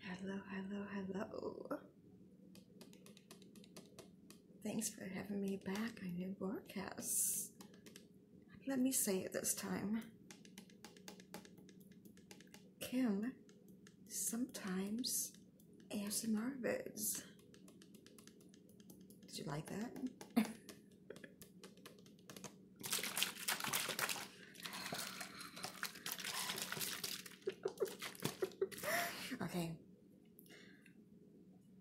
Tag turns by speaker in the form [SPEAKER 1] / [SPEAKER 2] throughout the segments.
[SPEAKER 1] Hello, hello, hello. Thanks for having me back on your broadcast. Let me say it this time. Kim sometimes ASMR vids. Did you like that? okay.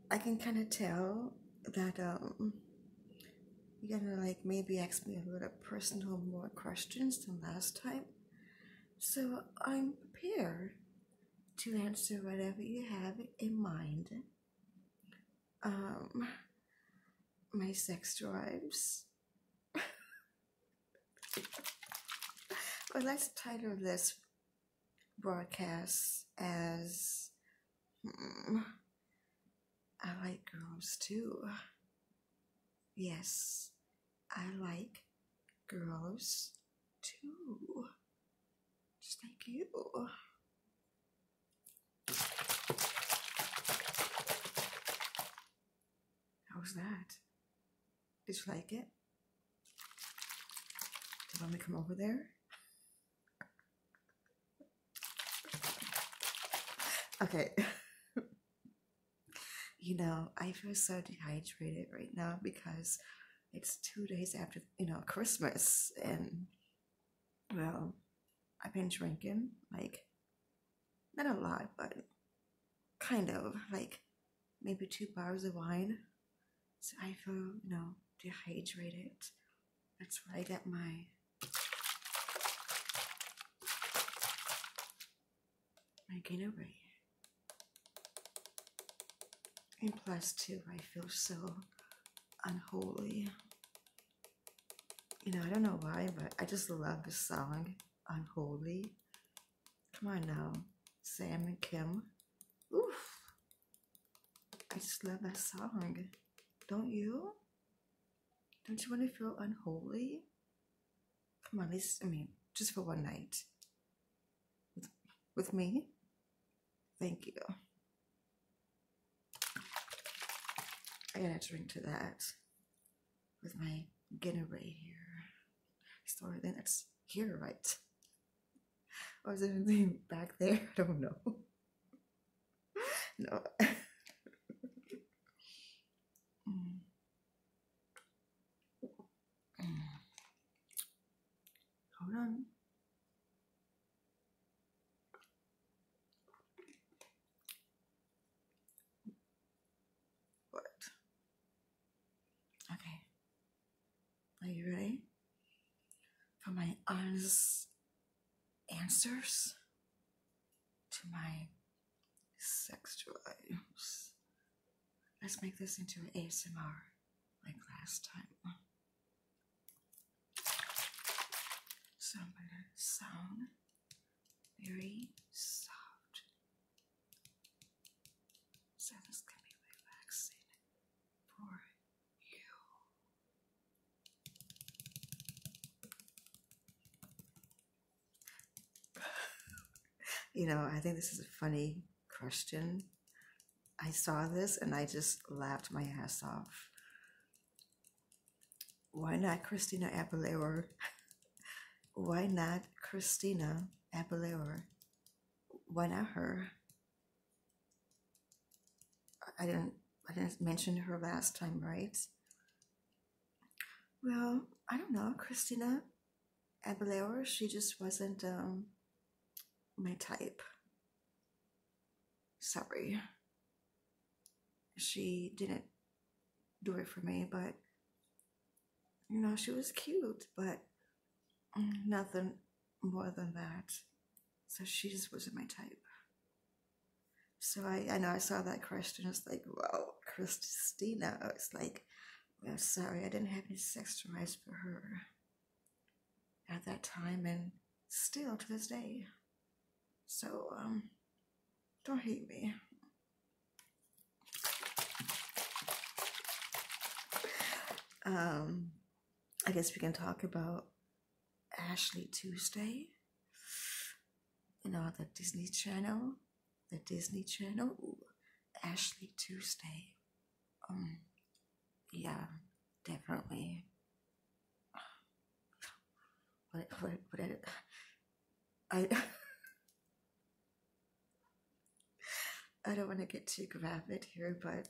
[SPEAKER 1] I can kind of tell that um you're gonna like maybe ask me a little personal more questions than last time. So I'm prepared to answer whatever you have in mind. Um, my sex drives. well, let's title this broadcast as hmm, I like girls too. Yes, I like girls too. Just like you. How's that? Did you like it? Do you want me to come over there? Okay. you know, I feel so dehydrated right now because it's two days after, you know, Christmas. And, well, I've been drinking, like, not a lot, but kind of, like, maybe two bottles of wine. So I feel, you know, dehydrated. That's where I get my I get over it. And plus, too, I feel so unholy. You know, I don't know why, but I just love the song Unholy. Come on now, Sam and Kim. Oof. I just love that song. Don't you? Don't you want to feel unholy? Come on, at least I mean, just for one night. With, me? Thank you. I gotta drink to that with my Gatorade here. Store then it's here, right? Or is anything back there? I don't know. no. Mm. Hold Okay. Are you ready for my honest answers to my Sex items. Let's make this into an ASMR like last time. So I'm gonna sound very soft. So this can be relaxing for you you know, I think this is a funny question. I saw this and I just laughed my ass off. Why not Christina Aguilera? Why not Christina Aguilera? Why not her? I didn't I didn't mention her last time, right? Well, I don't know, Christina Aguilera. She just wasn't um, my type. Sorry. She didn't do it for me, but you know, she was cute, but mm, nothing more than that. So she just wasn't my type. So I, I know I saw that question. It's like, "Well, Christina." I was like, "I'm sorry, I didn't have any sex drives for her at that time, and still to this day." So, um, don't hate me. Um, I guess we can talk about Ashley Tuesday. You know, the Disney Channel. The Disney Channel. Ashley Tuesday. Um, yeah, definitely. But, but, but I, I don't want to get too graphic here, but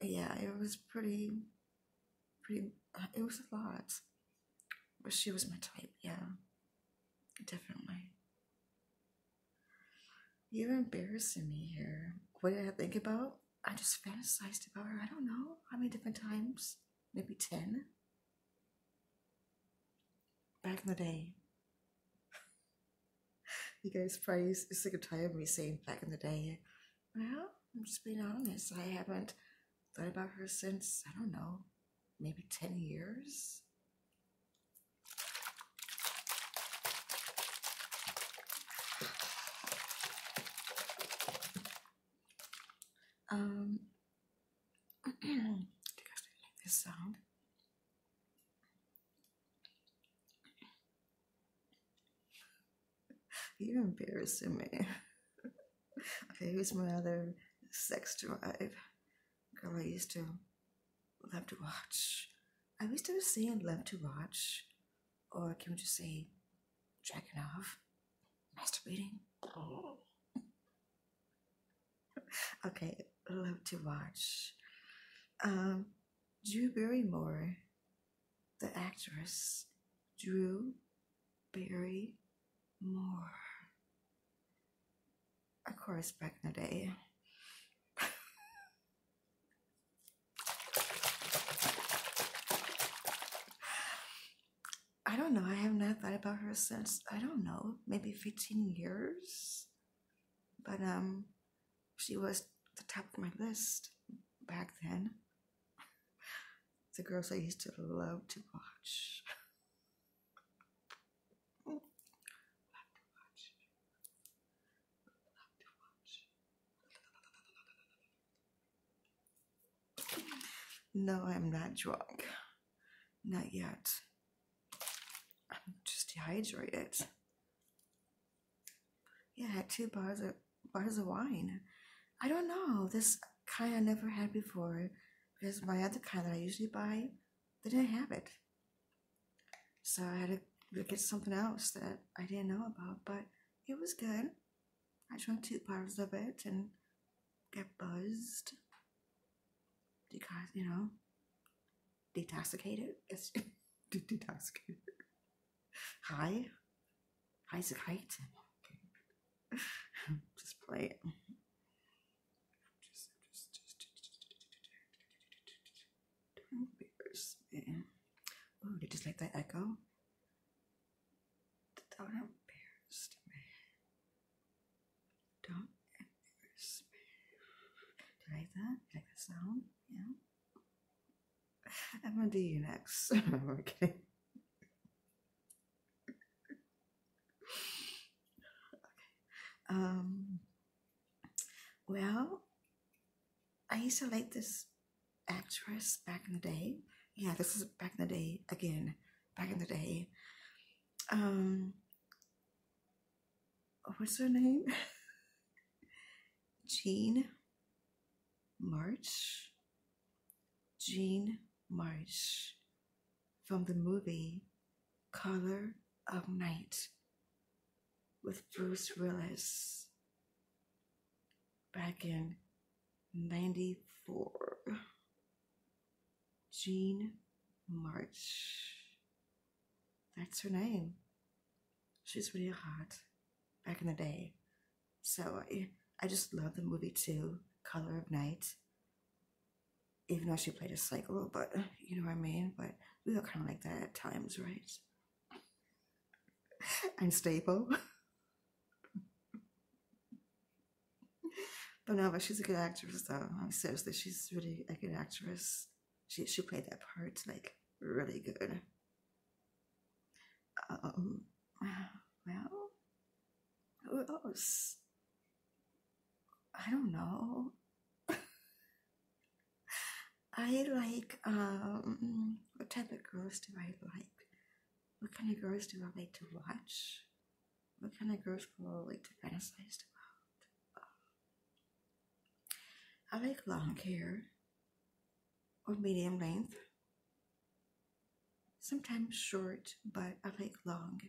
[SPEAKER 1] yeah, it was pretty pretty, uh, it was a lot. But she was my type, yeah. Definitely. You're embarrassing me here. What did I think about? I just fantasized about her. I don't know how many different times. Maybe 10. Back in the day. you guys probably sick and tired of me saying back in the day. Well, I'm just being honest. I haven't thought about her since, I don't know, maybe 10 years. Um, do you guys like this sound? You're embarrassing me. okay, who's my other sex drive. Girl, I used to love to watch. I used to say love to watch, or can we just say jacking off, masturbating? Oh. okay, love to watch. Um, Drew Barrymore the actress Drew Barry Moore. Of course, back in the day. I don't know. I have not thought about her since, I don't know, maybe 15 years. But um, she was the top of my list back then. The girls I used to love to watch. Love to watch. No, I'm not drunk. Not yet. I'm just dehydrated. Yeah, two bars of bars of wine. I don't know. This kind I never had before because my other kind that I usually buy, they didn't have it. So I had to get something else that I didn't know about, but it was good. I drank two bars of it and got buzzed because, you know, detoxicated. It's detoxicated. Hi. Hi's a kite. just play it. Just, just, just, just, Oh, did you just like that echo? Don't embarrass man. Don't embarrass man. Do you like that? you like that sound? Yeah. I'm gonna do you next. okay. okay. Um. Well, I used to like this actress back in the day. Yeah, this is back in the day again. Back in the day. Um what's her name? Jean March. Jean March from the movie Color of Night with Bruce Willis back in 94. Jean March. That's her name. She's really hot back in the day. So I, I just love the movie too, Color of Night. Even though she played a psycho, but you know what I mean? But we look kind of like that at times, right? Unstable. but no, but she's a good actress, though. I'm mean, seriously, she's really a good actress. She she played that part like really good. Um, well, who else? I don't know. I like um, what type of girls do I like? What kind of girls do I like to watch? What kind of girls do I like to fantasize about? I like long hair or medium length. Sometimes short, but I like long.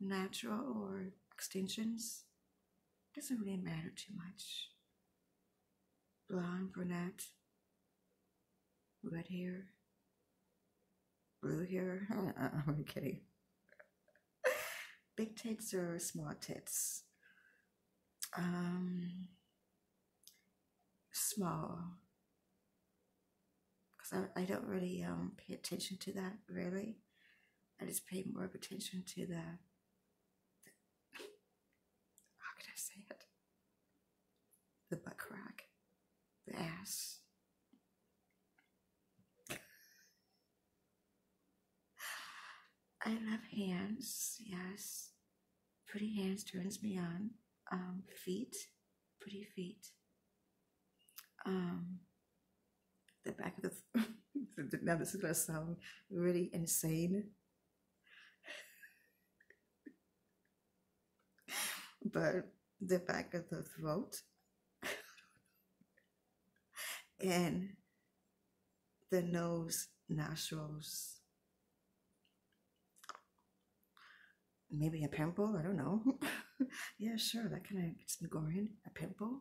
[SPEAKER 1] Natural or extensions doesn't really matter too much. Blonde, brunette, red hair, blue hair. I'm kidding big tits or small tits? Um, small. Because I, I don't really um, pay attention to that, really. I just pay more of attention to the, how can I say it? The butt crack, the ass. I love hands, yes. Pretty hands turns me on. Um, feet, pretty feet. Um, the back of the. now this is gonna sound really insane, but the back of the throat and the nose, nostrils, maybe a pimple. I don't know. yeah, sure, that kind of gets me going. A pimple,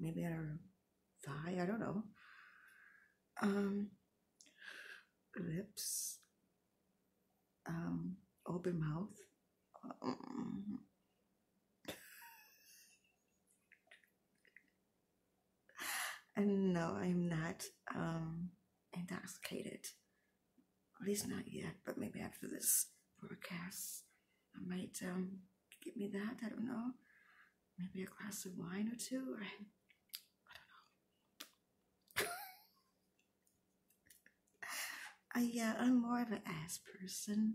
[SPEAKER 1] maybe on her thigh. I don't know. Um, lips, um, open mouth. and no, I'm not um, intoxicated. At least not yet, but maybe after this broadcast, I might um, get me that. I don't know. Maybe a glass of wine or two. Or, I don't know. I yeah, I'm more of an ass person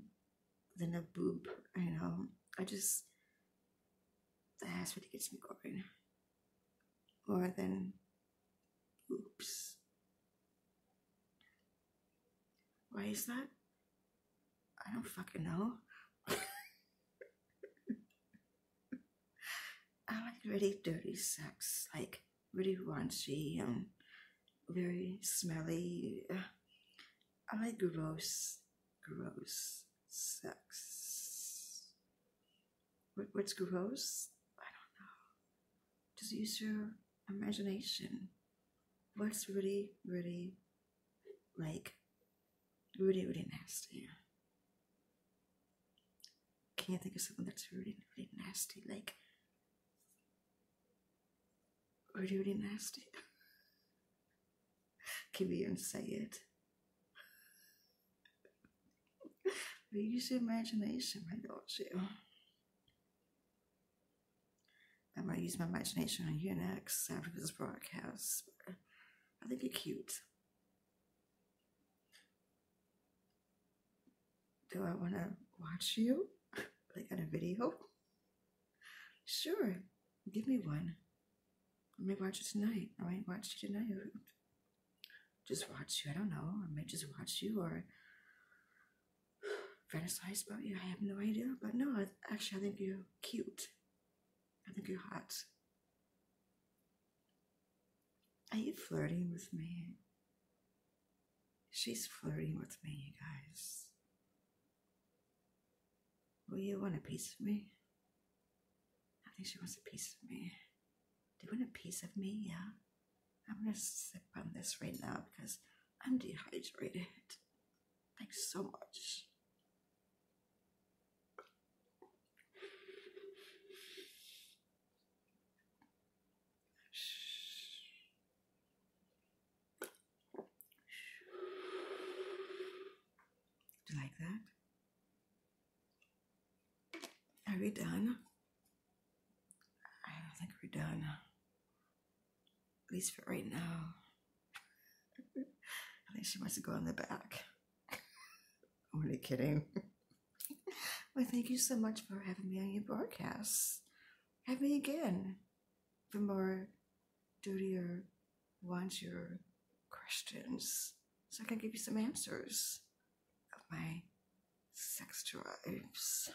[SPEAKER 1] than a boob. You know, I just the ass really gets me going more than boobs. Why is that? I don't fucking know. I like really dirty sex, like really raunchy and very smelly. I like gross, gross sex. What, what's gross? I don't know. Just use your imagination. What's really, really, like, really, really nasty? can't think of something that's really, really nasty. Like, really, really nasty. Can we even say it? We use the imagination, my do you? i might use my imagination on you next after this broadcast. I think you're cute do I want to watch you? like on a video? Sure, give me one. I may watch it tonight. I might watch you tonight. Just watch you. I don't know. I might just watch you or fantasize about you. I have no idea. But no, actually, I think you're cute. I think you're hot. Are you flirting with me? She's flirting with me, you guys. Well, you want a piece of me? I think she wants a piece of me. Do you want a piece of me? Yeah. I'm gonna sip on this right now because I'm dehydrated. Thanks so much. Do you like that? Are we done? I don't think we're done. At least for right now. I think she wants to go on the back. Only kidding. Well, thank you so much for having me on your broadcast. Have me again for more dirtier, or your questions so I can give you some answers of my sex drives.